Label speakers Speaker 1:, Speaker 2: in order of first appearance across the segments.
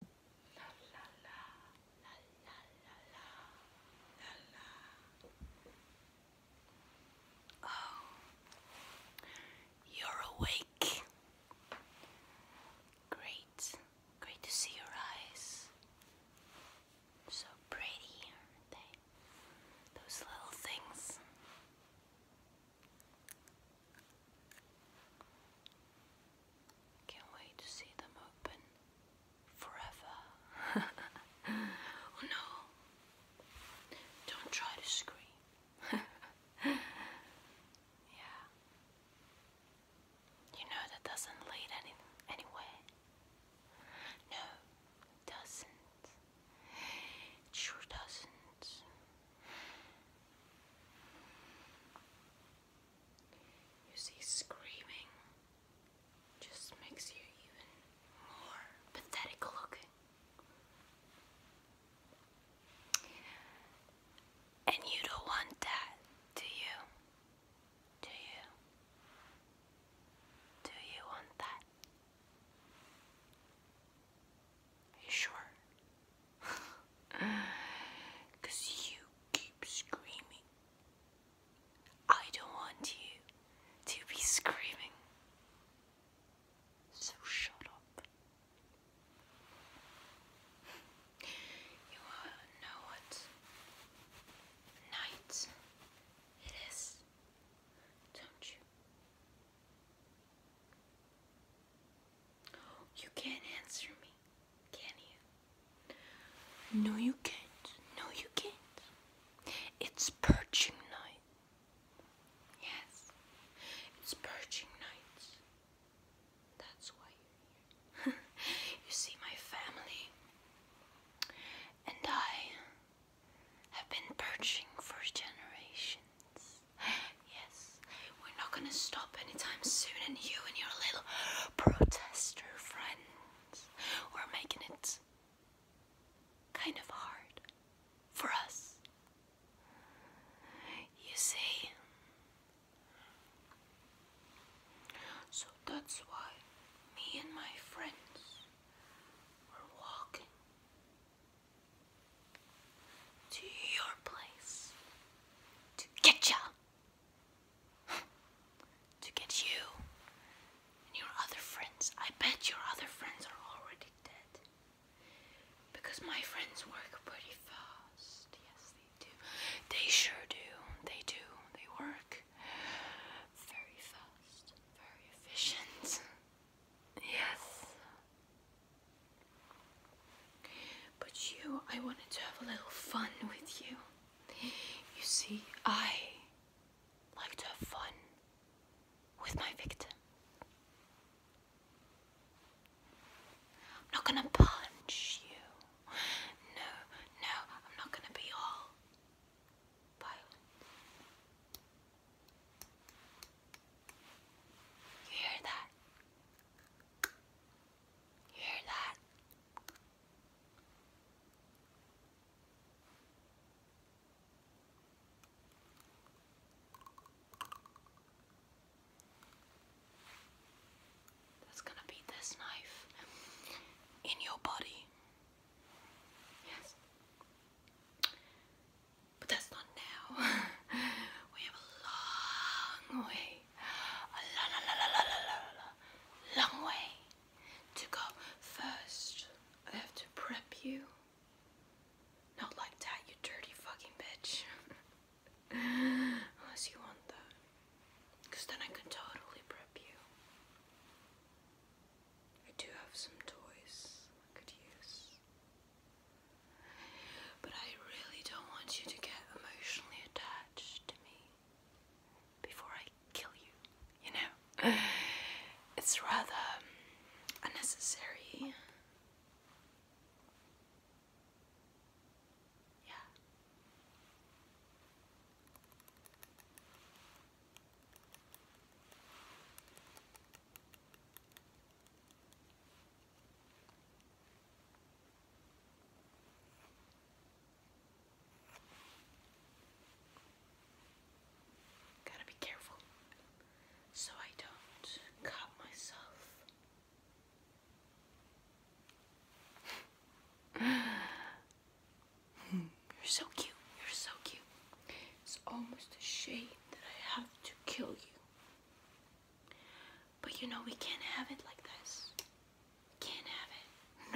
Speaker 1: la la la la la la la la. Oh, you're awake. Great, great to see your eyes. So pretty, aren't they? Those little things. Can't wait to see them open forever. oh no, don't try to scream. yeah. You know that doesn't lead any anywhere. No, doesn't. sure doesn't. You see, screaming just makes you even more pathetic looking. And you don't want that, do you? Do you? Do you want that? Are you sure? Cause you keep screaming. I don't want you to be screaming. So shut up. You know what? Night it is, don't you? You can't answer me can you? No, you can't. No, you can't. It's perching night. Yes, it's perching nights. That's why you're here. you see, my family and I have been perching for generations. Yes, we're not gonna stop anytime soon, and you and your little protester friends are making it kind of hard for us. You see? So that's why me and my friends were walking to your place to get ya to get you and your other friends. I bet your other friends are already dead. Because my friends work pretty fast. Yes, they do. They sure do. They do. They work very fast, very efficient. Yes. But you, I wanted to have a little fun with you. You see, I like to have fun with my victim. I'm not gonna punch you. No, no, I'm not gonna be all violent. You hear that? hear that? That's gonna be this knife in your body. Yes. But that's not now. we have a long way a la long way to go. First, I have to prep you. Not like that, you dirty fucking bitch. Unless you want that. Because then I can totally prep you. I do have some toys I could use. But I really don't want you to get emotionally attached to me before I kill you, you know? It's rather um, unnecessary. Yeah. Gotta be careful so I don't cut myself. You're so cute. You're so cute. It's almost a shame that I have to kill you. But you know, we can't have it like this. Can't have it.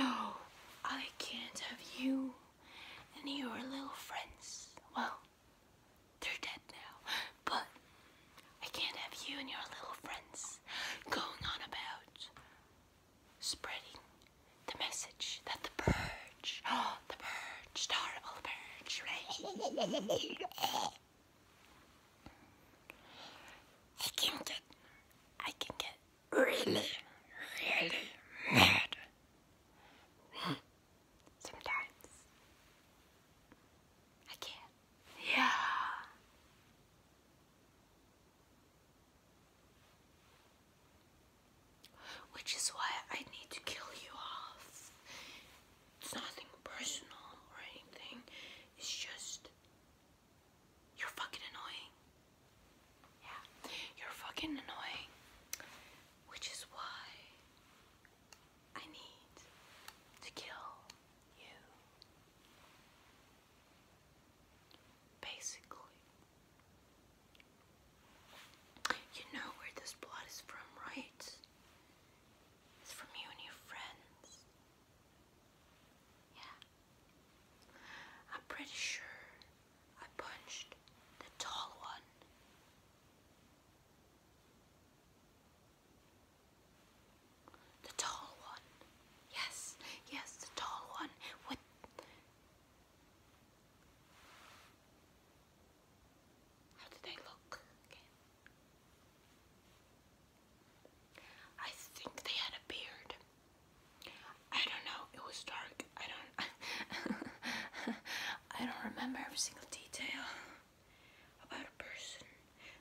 Speaker 1: No, I can't have you and your little friends. Well, they're dead now, but I can't have you and your little friends going on about spreading the message that the purge, the purge, the purge, I can get, I can get really, really mad sometimes. I can, yeah. Which is why I need to kill you off. It's nothing personal or anything. It's just you're fucking annoying. Yeah, you're fucking annoying. Which is why I need to kill you. Basically. You know where this blood is from, right? It's from you and your friends. Yeah. I'm pretty sure I punched the tall one. The tall one. Yes, yes, the tall one with. How did I look? I think they had a beard. I don't know. It was dark. I don't. I don't remember every single detail about a person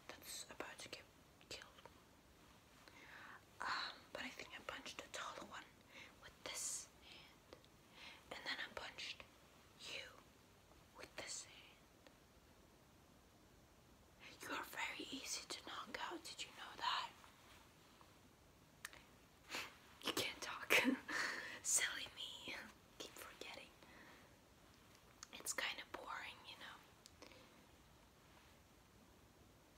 Speaker 1: that's about to get killed. Um, but I think I punched a taller one with this hand, and then I punched you with this hand. You are very easy to knock out, did you know that? You can't talk. Silly me. Keep forgetting. It's kind of boring, you know.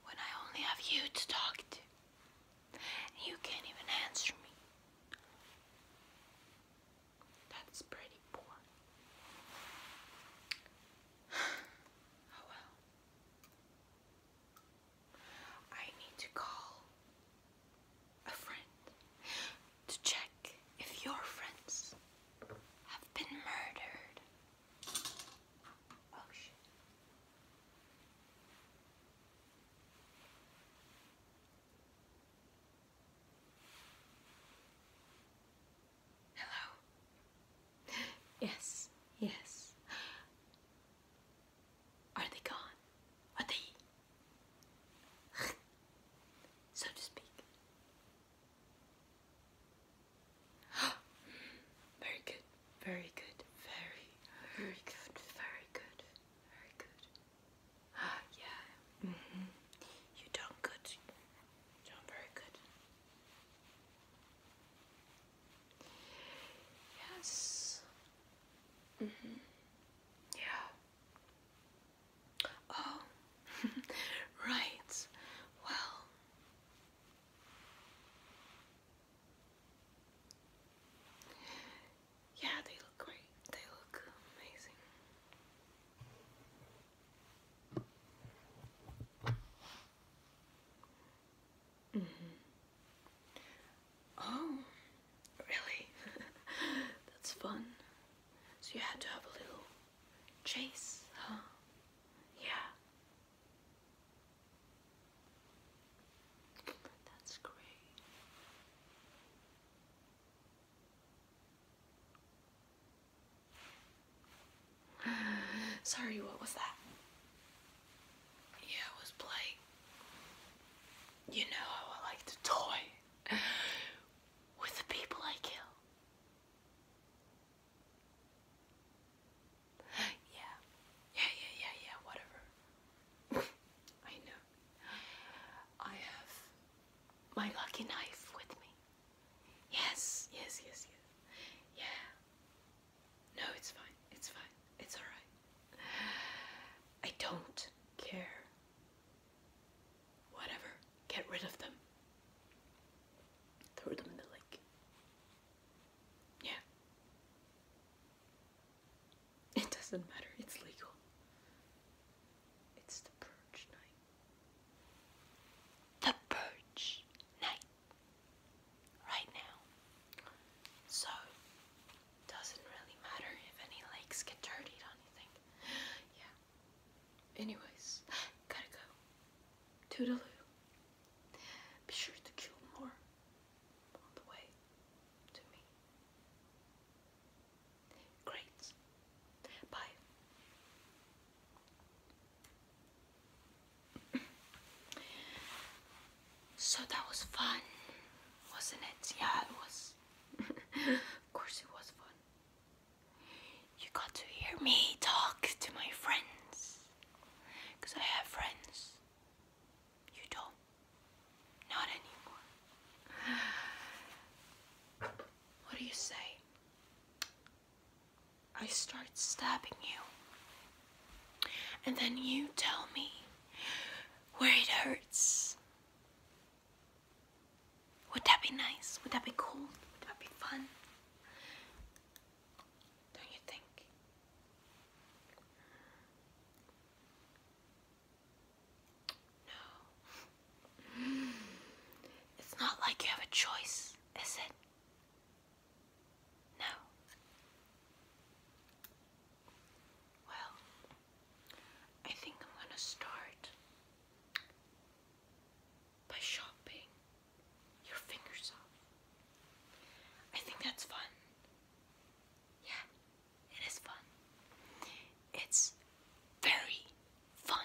Speaker 1: When I only have you to talk to, you can't even answer me. That's pretty poor. oh well. I need to call a friend to check if your friends have been murdered. Oh shit. Hello. Yes, yes. Are they gone? Are they? so to speak. very good, very good, very, very good, very good, very good yeah. Mm-hmm. You done good. You very good. Yes. Mm-hmm. Yeah. Oh, right. Well. Yeah, they look great. They look amazing. Mm -hmm. Oh, really? That's fun. So you had to have a little chase, huh? Yeah. That's great. Sorry, what was that? Yeah, it was Blake. You know how I like to toy with the people I kill. Yeah, yeah, yeah, yeah, yeah, whatever. I know. I have my lucky knife with me. Yes, yes, yes, yes. Yeah. No, it's fine. It's fine. It's alright. I don't care. Whatever. Get rid of them. Throw them in the lake. Yeah. It doesn't matter. It's legal. It's the purge night the purge night right now. So doesn't really matter if any lakes get dirty or anything. Yeah. Anyways, gotta go. Toodaloo. Be sure to kill more on the way to me. Great. Bye. so that was fun, wasn't it? Yeah, it was. of course, it was fun. You got to hear me talk to my friends. Because I have friends. You don't. Not anymore. What do you say? I start stabbing you. And then you tell me where it hurts. Would that be nice? Would that be cool? Would that be fun? Don't you think? No. It's not like you have a choice, is it? No. Well, I think I'm going to start by shopping your fingers off. I think that's fun. Yeah, it is fun. It's very fun.